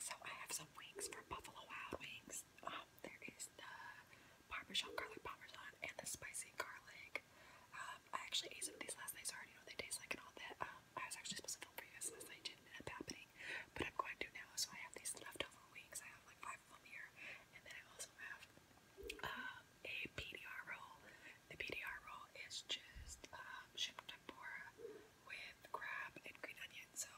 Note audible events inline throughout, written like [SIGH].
So I have some wings from Buffalo Wild Wings. Um, there is the Parmesan garlic parmesan and the spicy garlic. Um, I actually ate some of these last night, so I already know what they taste like and all that. Um, I was actually supposed to film for you guys last night, didn't end up happening, but I'm going to now. So I have these leftover wings. I have like five of them here, and then I also have a PDR roll. The PDR roll is just shrimp shipped tempura with crab and green onion, so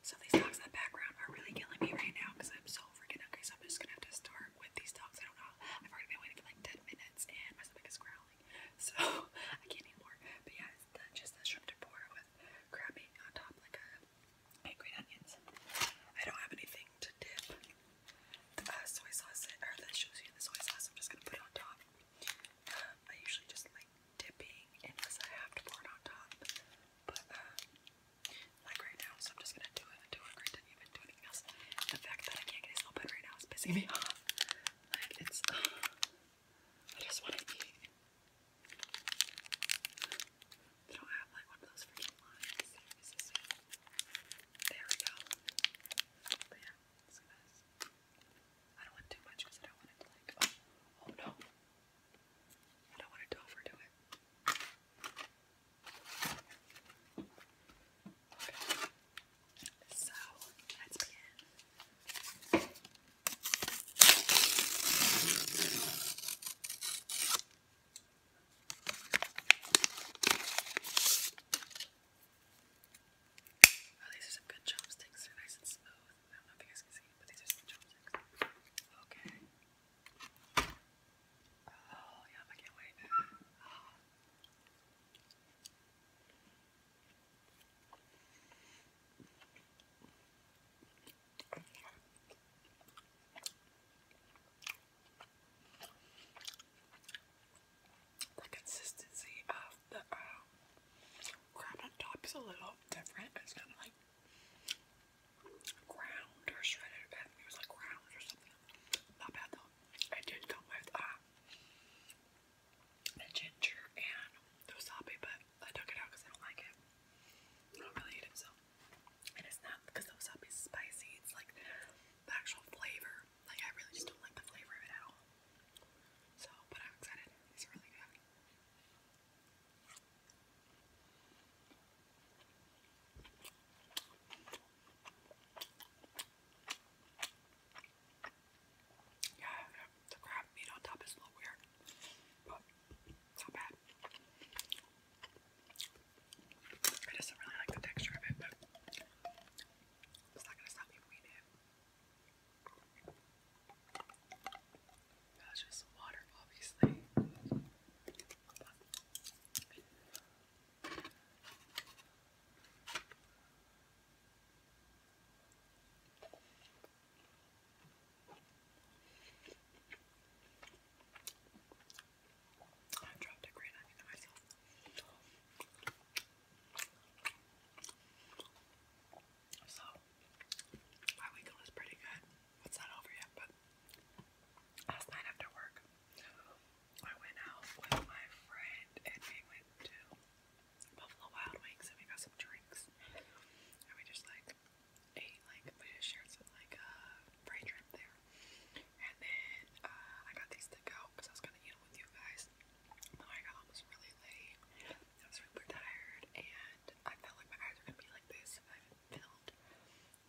so these dogs in the background are really killing me right now because I'm so freaking hungry, so I'm just gonna have to start with these dogs. I don't know. I've already been waiting for like 10 minutes and my stomach is growling, [LAUGHS] so I can't eat more. But yeah, it's just the shrimp tempura with crab meat on top, like uh, a green onions. I don't have anything to dip the uh, soy sauce or the shows you the soy sauce. I'm just gonna put it on top. I usually just like dipping unless I have to pour it on top. But um, like right now, so I'm just gonna do it until I didn't even do anything else. The fact that I can't get this open right now is pissing me off. Like it's, [SIGHS] I just want to eat. They don't have like one of those freaking lines. There we go. But yeah, I don't want too much because I don't want it to like, oh, oh no. I don't want to overdo it. So, let's begin. Oh, these are some good chopsticks. They're nice and smooth. I don't know if you guys can see, but these are some chopsticks. Okay. Oh, yum, I can't wait the consistency of the um, on top is a little different. It's kind of like ground or shredded. I think it was like ground or something. Not bad though. It did come with the um, ginger and the wasabi, but I took it out because I don't like it. I don't really eat it so. it's not because the wasabi is spicy. It's like the actual flavor like, I really just don't like the flavor of it at all. So, but I'm excited. It's really good. Yeah, the crab meat on top is a little weird, but it's not bad. I just don't really like the texture of it, but it's not gonna stop me eating it. That's just water, obviously. I dropped a grenade into myself. So, my weekend was pretty good. It's not over yet, but last night after work, I went out with my friend and we went to Buffalo Wild Wings and we got some drinks. And we just like ate, like, we just shared some like uh, trip there. And then uh, I got these to go because I was gonna eat them with you guys. I got home was really late. I was super tired, and I felt like my eyes were gonna be like this if I filmed.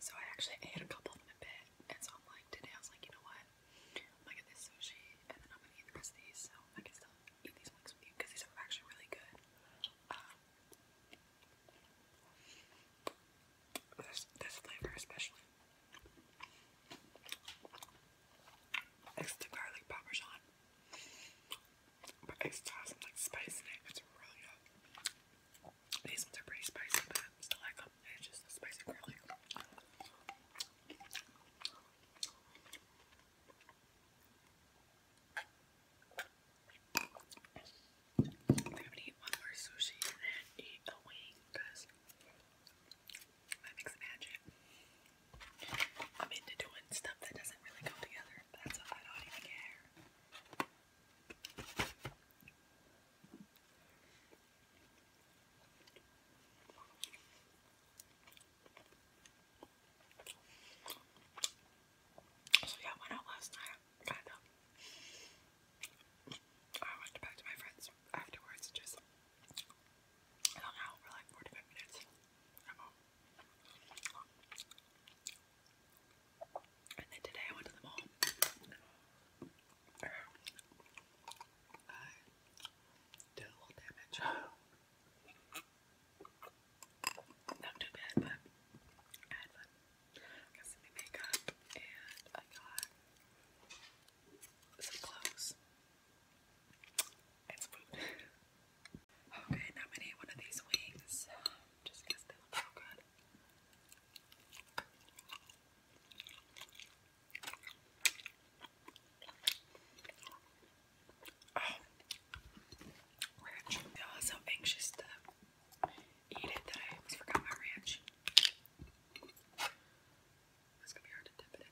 So I actually ate a couple of them in bed, and so I'm like today I was like, you know what? I'm gonna get this sushi, and then I'm gonna eat the rest of these. So I can still eat these wings with you because these are actually really good. Um, this, this flavor especially it's the garlic parmesan. But it still like spice It's really good. These ones are pretty spicy, but still like them. just the spicy garlic. I'm gonna eat one more sushi and eat a wing because that makes magic. I'm into doing stuff that doesn't really go together. That's why I don't even care. So yeah, went out last night, kind of. I went back to my friends afterwards, just I hung out for like 45 minutes. I'm And then today I went to the mall. did a little damage. Not too bad, but I had some new makeup and I got some clothes, and food. okay, now I'm gonna eat one of these wings just they look so good. Oh, ranch. so anxious to eat it that I almost forgot my ranch. It's gonna be hard to dip it in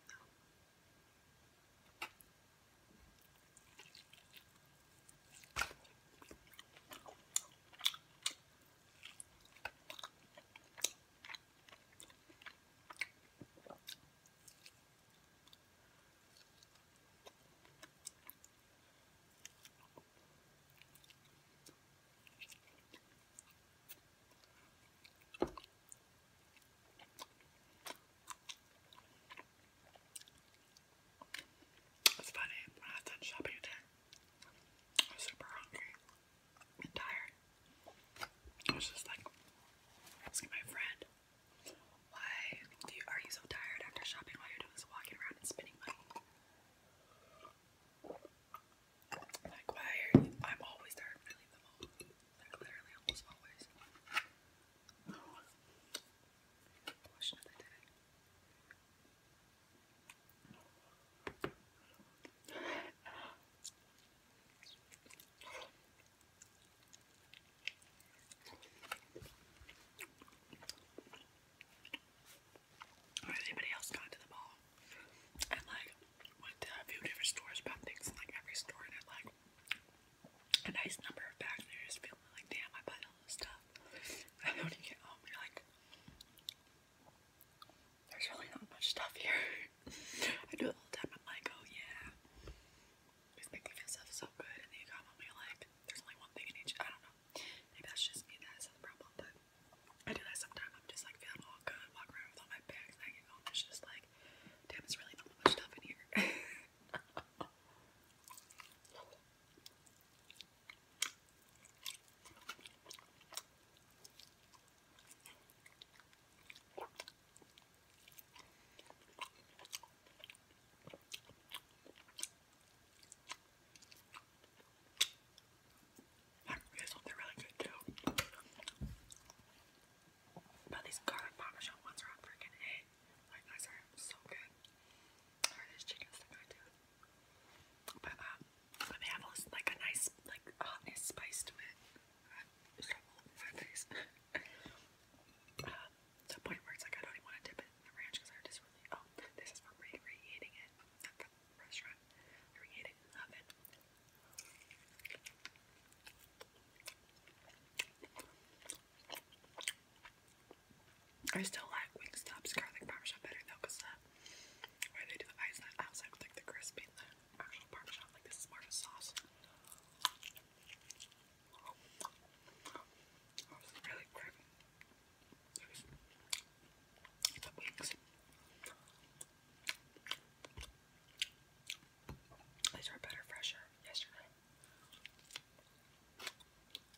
it's funny, when I was shopping today, I was super hungry and tired. I was just like asking my friend, why are you so tired after shopping? All you're doing walking around and spending money. I'm always there I leave them home. Like, literally, almost always. Has anybody else gone to the mall? and like went to a few different stores, bought things in like every store, and had like a nice number of bags. And you just feeling like, damn, I bought all this stuff. [LAUGHS] And when you get home, you're like, there's really not much stuff here. [LAUGHS] I do it all time. I'm like, oh yeah, just make me feel so good. And then you come home, and you're like, there's only one thing in each. I don't know. Maybe that's just me. That's the problem, but. I do that sometimes. I'm just like feeling all good, walk around with all my bags, I get just like, damn, it's really not much stuff in here. These ones are really good But these garlic parmesan ones are freaking A. Like those are so good. Or this chicken's so good too. But um, but they have like a nice like hotness spice to it. Uh, [LAUGHS] um, to the point where it's like I don't even want to dip it the ranch because I just really. Oh, this is for it. I still like Wingstop's garlic parmesan better though, cause the uh, they do the ice on outside like the crispy the actual parmesan, like this is sauce. I was really craving the wings. These are better, fresher yesterday.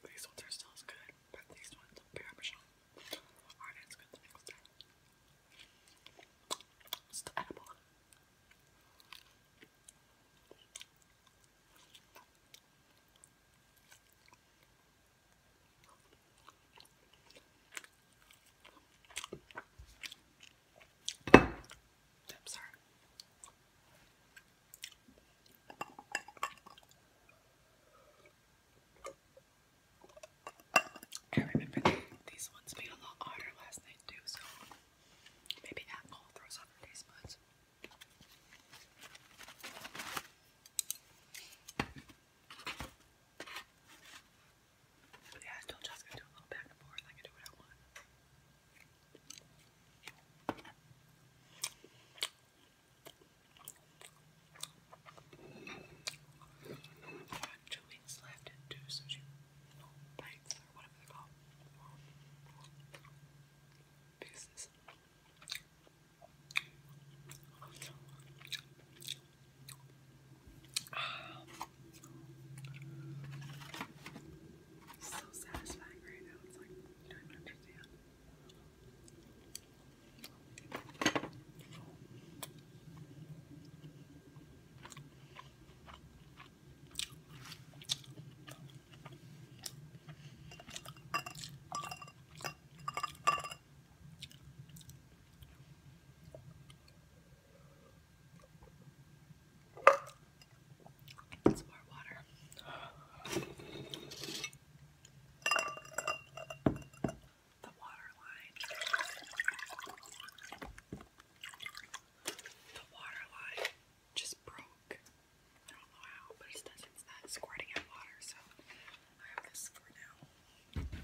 These ones are still good, but these ones are parmesan aren't good the next day. It's the edible. I'm sorry. I remember these ones being a lot harder last night too, so maybe alcohol throws off the taste buds. But yeah, I told you gonna do a little back and forth. I can do what I want. two weeks left and two sushi bites or whatever they're called. Pieces. It's so satisfying right now. It's like you don't even understand. It's more water. The water line. The water line just broke. I don't know how, but it's, it's not squirting out water, so I have this for now.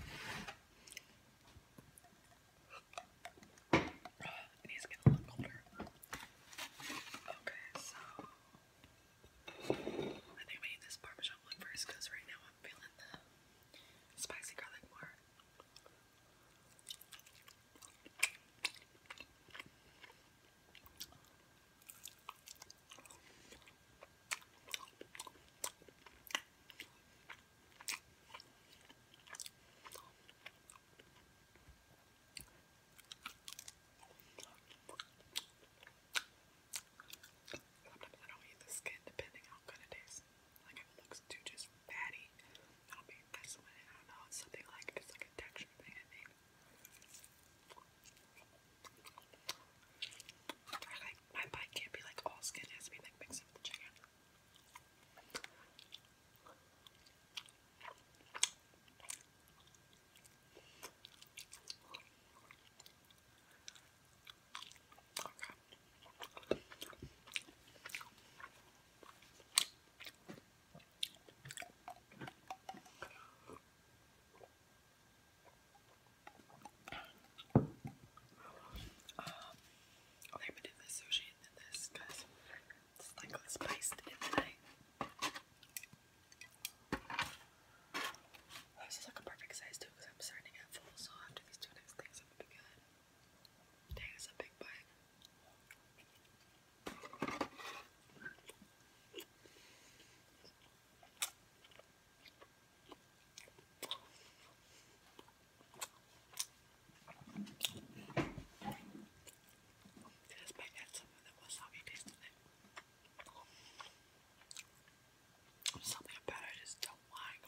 It needs to get a little colder. Okay, so I think I'm this parmesan one first because right now I'm feeling the spicy garlic more. Sometimes I don't eat the skin depending on how good it is. Like if it looks too just fatty, I'll be this I don't know. It's something like it's like a texture thing. I like my bite can't be like all skin, has to be like mixed up with the chicken. Um, I'll maybe do oh, the sushi and then this because it's like spiced in oh, This is like a perfect size too because I'm starting at full, so after these two next things, I'm be good. Dang, it's a big bite. Just might add some of the wasabi taste in Something about it is don't like.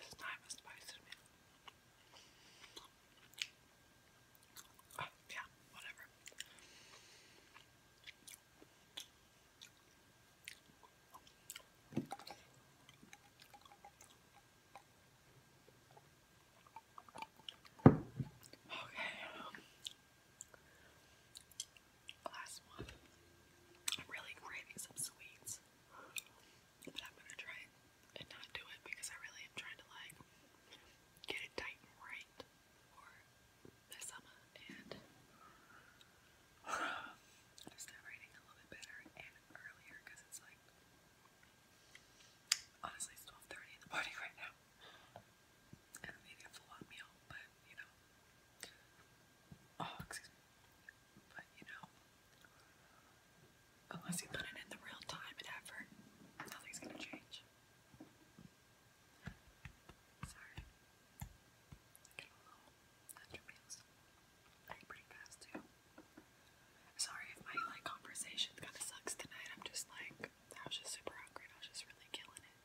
It's time to spice it in. Uh, yeah, whatever. Okay, last one. I'm really craving some sweets, but I'm gonna try and not do it because I really am trying to like get it tight and right or this summer, and I [SIGHS] start writing a little bit better and earlier it's like honestly it's 12:30 in the morning right now, and I'm a full-on meal, but you know, oh but you know, unless you put it in the real time and effort, nothing's gonna change. Sorry. I get a little under meals. Like pretty fast too. Sorry if my like conversation kinda sucks tonight. I'm just like I was just super hungry I was just really killing it.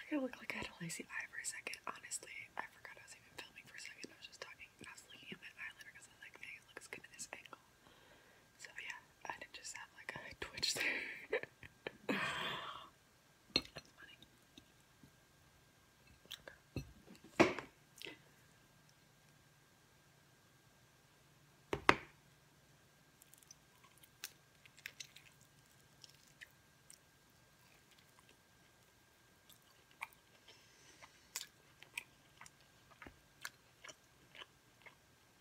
like I look like I had a lazy eye for a second. Honestly, I forgot I was even filming for a second. I was just talking. I was looking at my eyeliner because I like, dang, it looks good at this angle. So yeah, I did just have like a twitch there.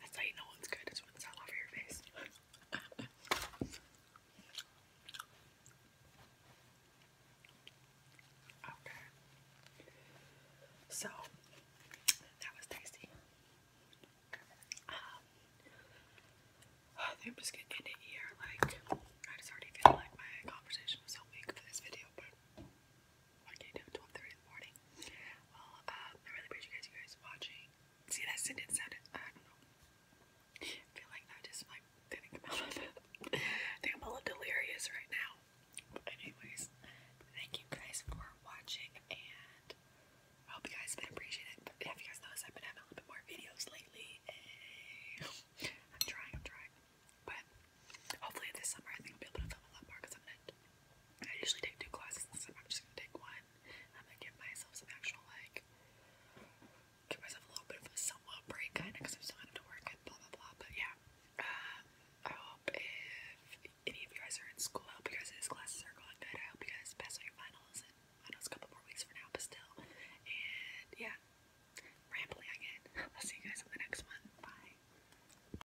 That's how you know it's good, it's when it's all over your face. [LAUGHS] okay. So, that was tasty. I am just gonna here. Like, I just already feel like my conversation was so weak for this video, but Okay, now 12:30 in the morning. Well, uh, I really appreciate you guys, watching. See that sentence sounded I don't know. I feel like I just like did out of it. I think I'm a little delirious right now. But anyways, thank you guys for watching and I hope you guys have been appreciating it. have you guys noticed I've been having a little bit more videos lately? I'm trying, I'm trying. But hopefully this summer I think I'll be able to film a lot more because I'm I usually take two classes this time. I'm just gonna take one. I'm gonna give myself some actual like give myself a little bit of a somewhat break kind because I'm still gonna have to work and blah blah blah. But yeah. Um, I hope if any of you guys are in school, I hope you guys classes are going good. I hope you guys pass all your finals and I know it's a couple more weeks for now, but still. And yeah. Rambling again. [LAUGHS] I'll see you guys in the next one. Bye.